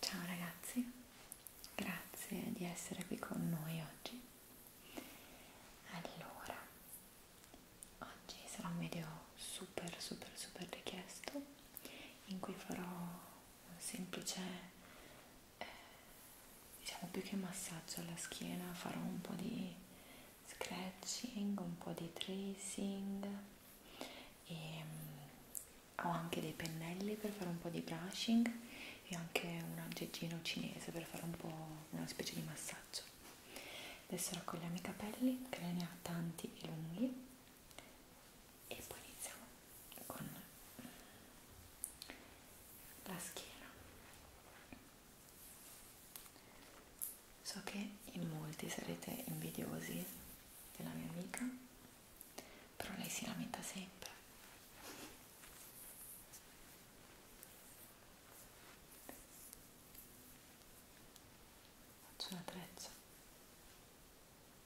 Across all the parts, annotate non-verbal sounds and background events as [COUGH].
Ciao ragazzi, grazie di essere qui con noi oggi. Allora, oggi sarà un video super super super richiesto in cui farò un semplice eh, diciamo più che massaggio alla schiena farò un po' di scratching un po' di tracing e ehm, mh, ho anche dei pennelli per fare un po' di brushing e anche un aggeggino cinese per fare un po' una specie di massaggio adesso raccogliamo i capelli che ne ha tanti e lunghi e poi iniziamo con la schiena so che in molti sarete invidiosi della mia amica però lei si lamenta sempre faccio la treccia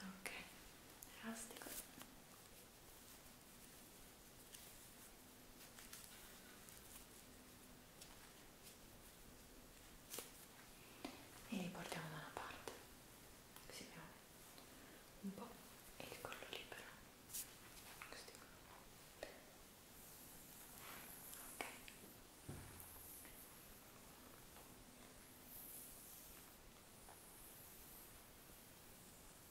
ok elastico e li portiamo da una parte così abbiamo un po' e il collo libero così ok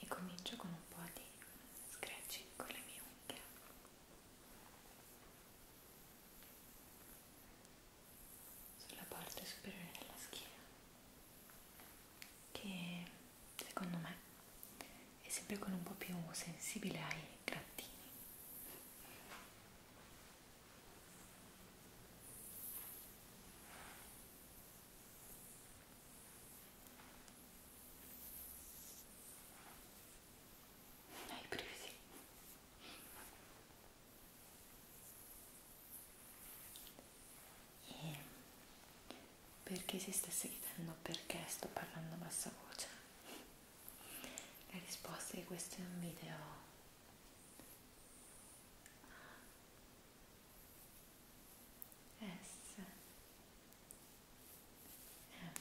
e comincio con un po' di scratching con le mie unghie sulla parte superiore della schiena che secondo me è sempre con un po' più sensibile ai grattini hai presi. E perché si stesse chiedendo perché sto parlando a bassa voce? La risposta è che questo è un video S M R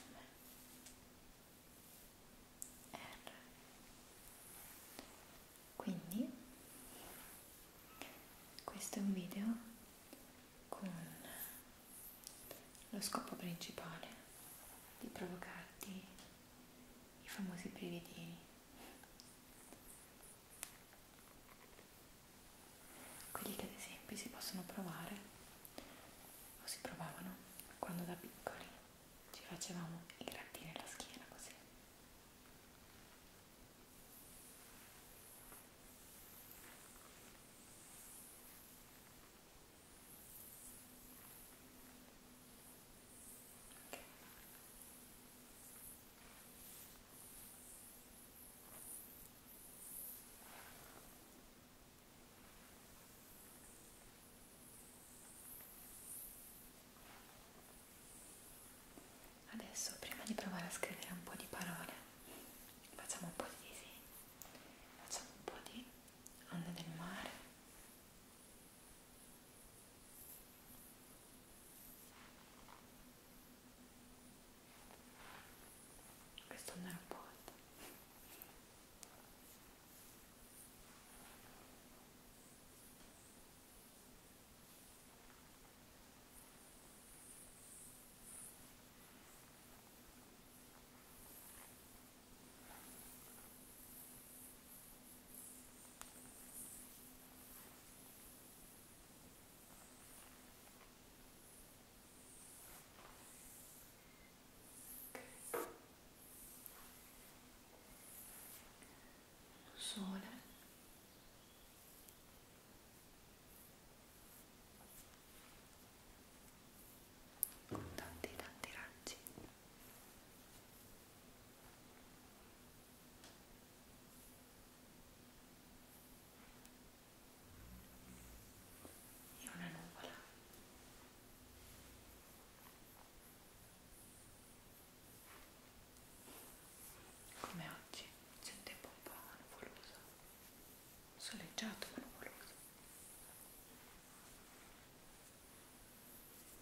quindi questo è un video con lo scopo principale di provocarti i famosi brividini quelli che ad esempio si possono provare o si provavano quando da piccoli ci facevamo i grattini alla schiena così Adesso prima di provare a scrivere un po' di parole, facciamo un po' di disegni, facciamo un po' di onde del mare questo non era un po' alto Sole. Con tanti tanti raggi e una nuvola come oggi c'è un tempo un po' nuvoloso soleggiato ma nuvoloso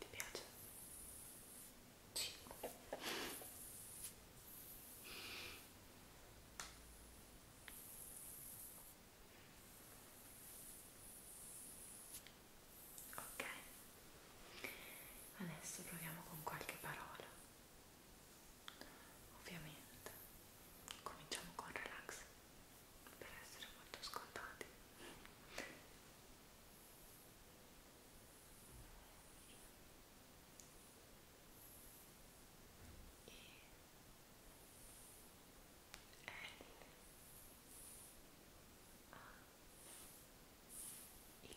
Ti piace? Sì. Ok, adesso proviamo con qualche parola. Ovviamente cominciamo con relax per essere molto scontati e L A X e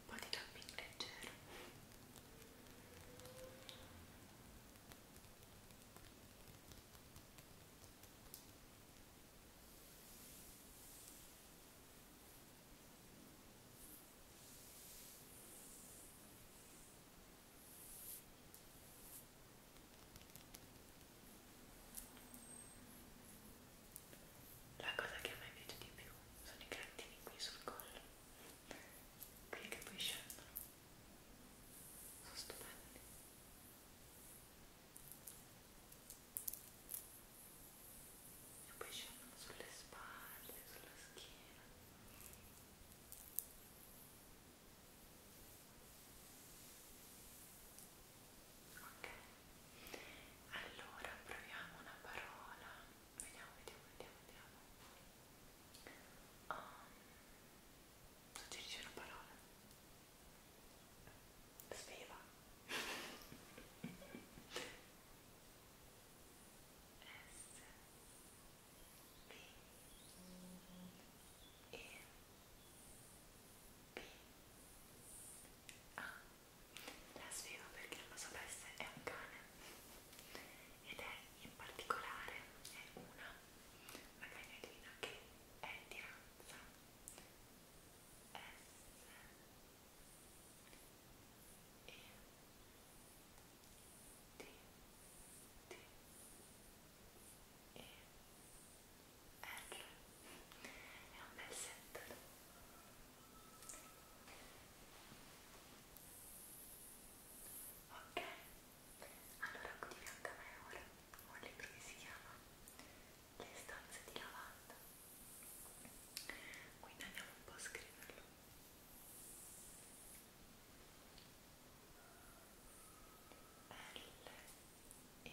un po' di tapping leggero la cosa che a me piace di più sono i grattini qui sul collo, quelli che poi scendono, sono stupendi. E poi scendono sulle spalle, sulla schiena ok allora proviamo una parola vediamo vediamo vediamo vediamo um, suggerisci una parola sveva [LAUGHS] S B E B ah, A la spiego perché non lo sapesse è un cane ed è in particolare è una una cagnolina che è di razza S E D D e R è un bel set ok allora qui di fianco a me ora ho un libro che si chiama le stanze di lavanda quindi andiamo un po' a scriverlo L E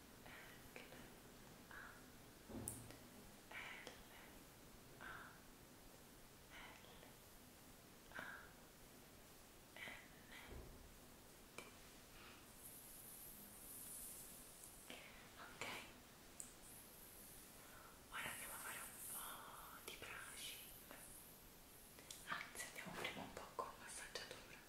Ok, ora andiamo a fare un po' di brushing. Anzi, andiamo prima un po' con massaggiatura. Ok,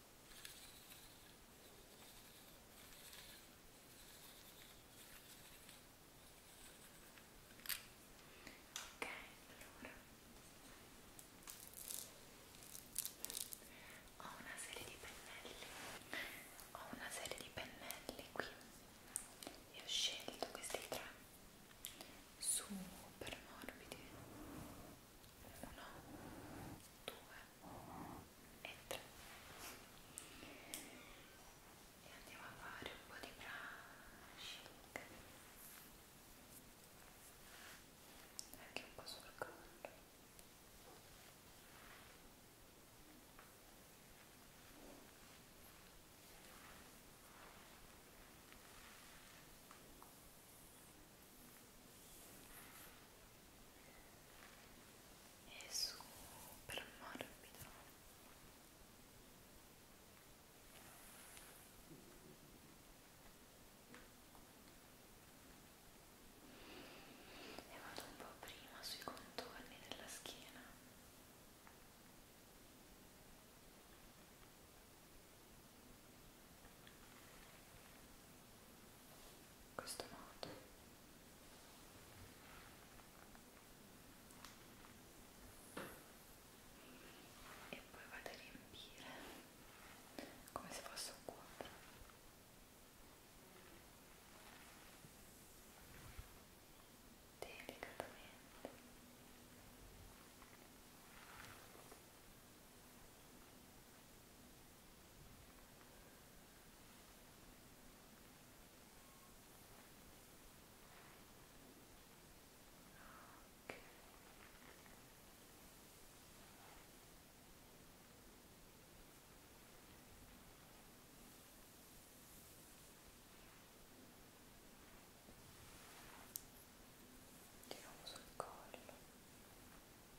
Ok, allora ho una serie di pennelli, ho una serie di pennelli qui e ho scelto questi tre super morbidi uno, due e 3 e andiamo a fare un po' di brushing anche un po' sul collo e è super morbido e vado un po' prima sui contorni della schiena e in questo modo e poi vado a riempire come se fosse un quadro delicatamente e Okay. Tiriamo sul collo.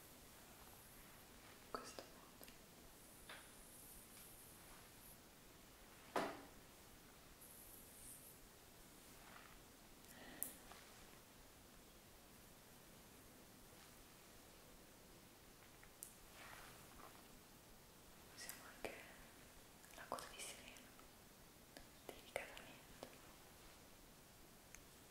in questo modo usiamo anche la coda di sirena delicatamente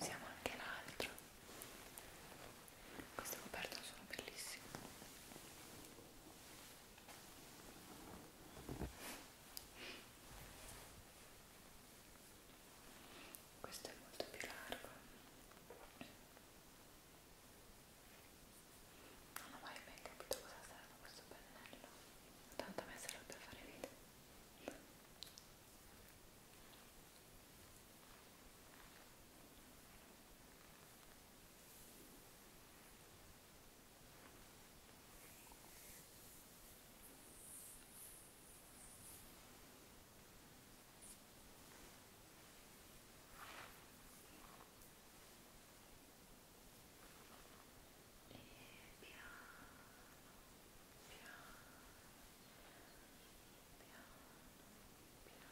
Usiamo anche l'altro. Queste coperte sono bellissime. Questo è molto più largo non ho mai ben capito cosa serve questo pennello tanto a me serve per fare video e piano piano piano piano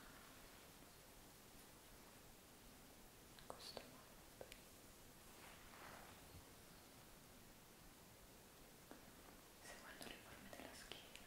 in questo modo seguendo le forme della schiena e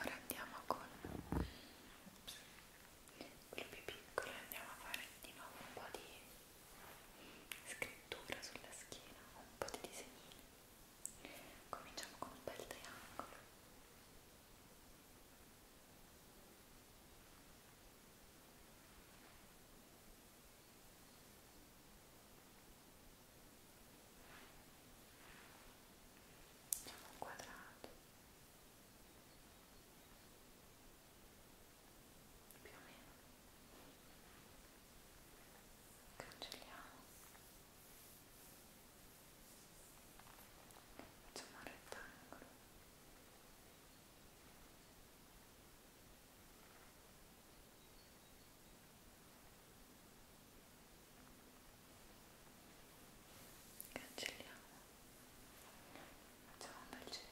Ora andiamo con Ops. quello più piccolo andiamo a fare di nuovo un po' di scrittura sulla schiena, un po' di disegnini. Cominciamo con un bel triangolo. Facciamo un quadrato più o meno cancelliamo facciamo un rettangolo cancelliamo facciamo un bel cerchio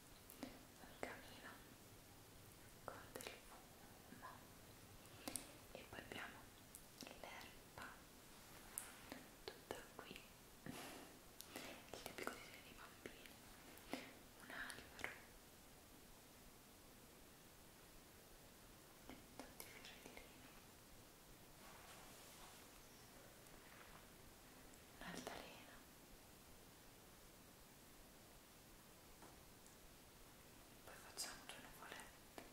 un camino con del fumo e poi abbiamo l'erba tutta qui il tipico disegno dei bambini un albero tanti fiorellini un'altalena poi facciamo due nuvolette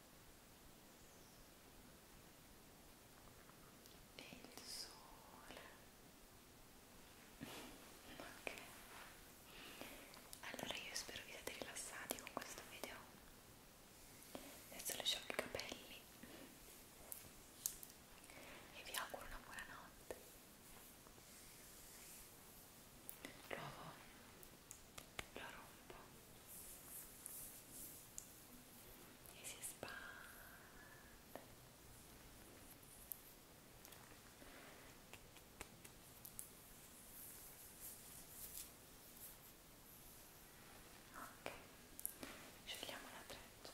e il sole ok allora io spero vi siate rilassati con questo video adesso lasciamo i capelli e vi auguro una buona notte lo, lo rompo e si espande ok scegliamo la treccia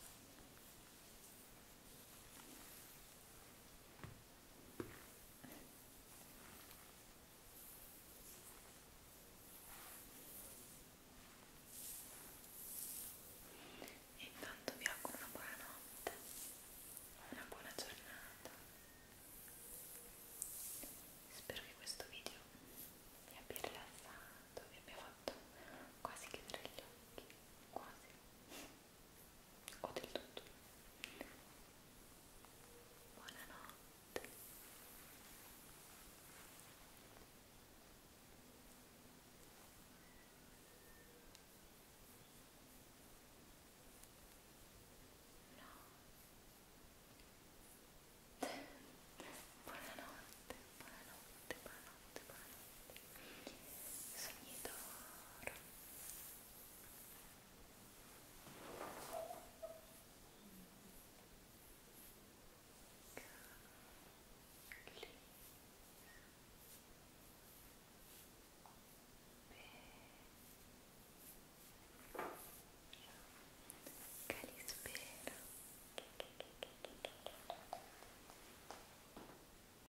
e intanto vi auguro una buona notte, una buona giornata. Spero che questo video vi abbia rilassato, vi abbia fatto quasi chiudere gli occhi, quasi o del tutto. Buonanotte. No. Buonanotte, buonanotte, buonanotte, buonanotte sogni d'oro Calispera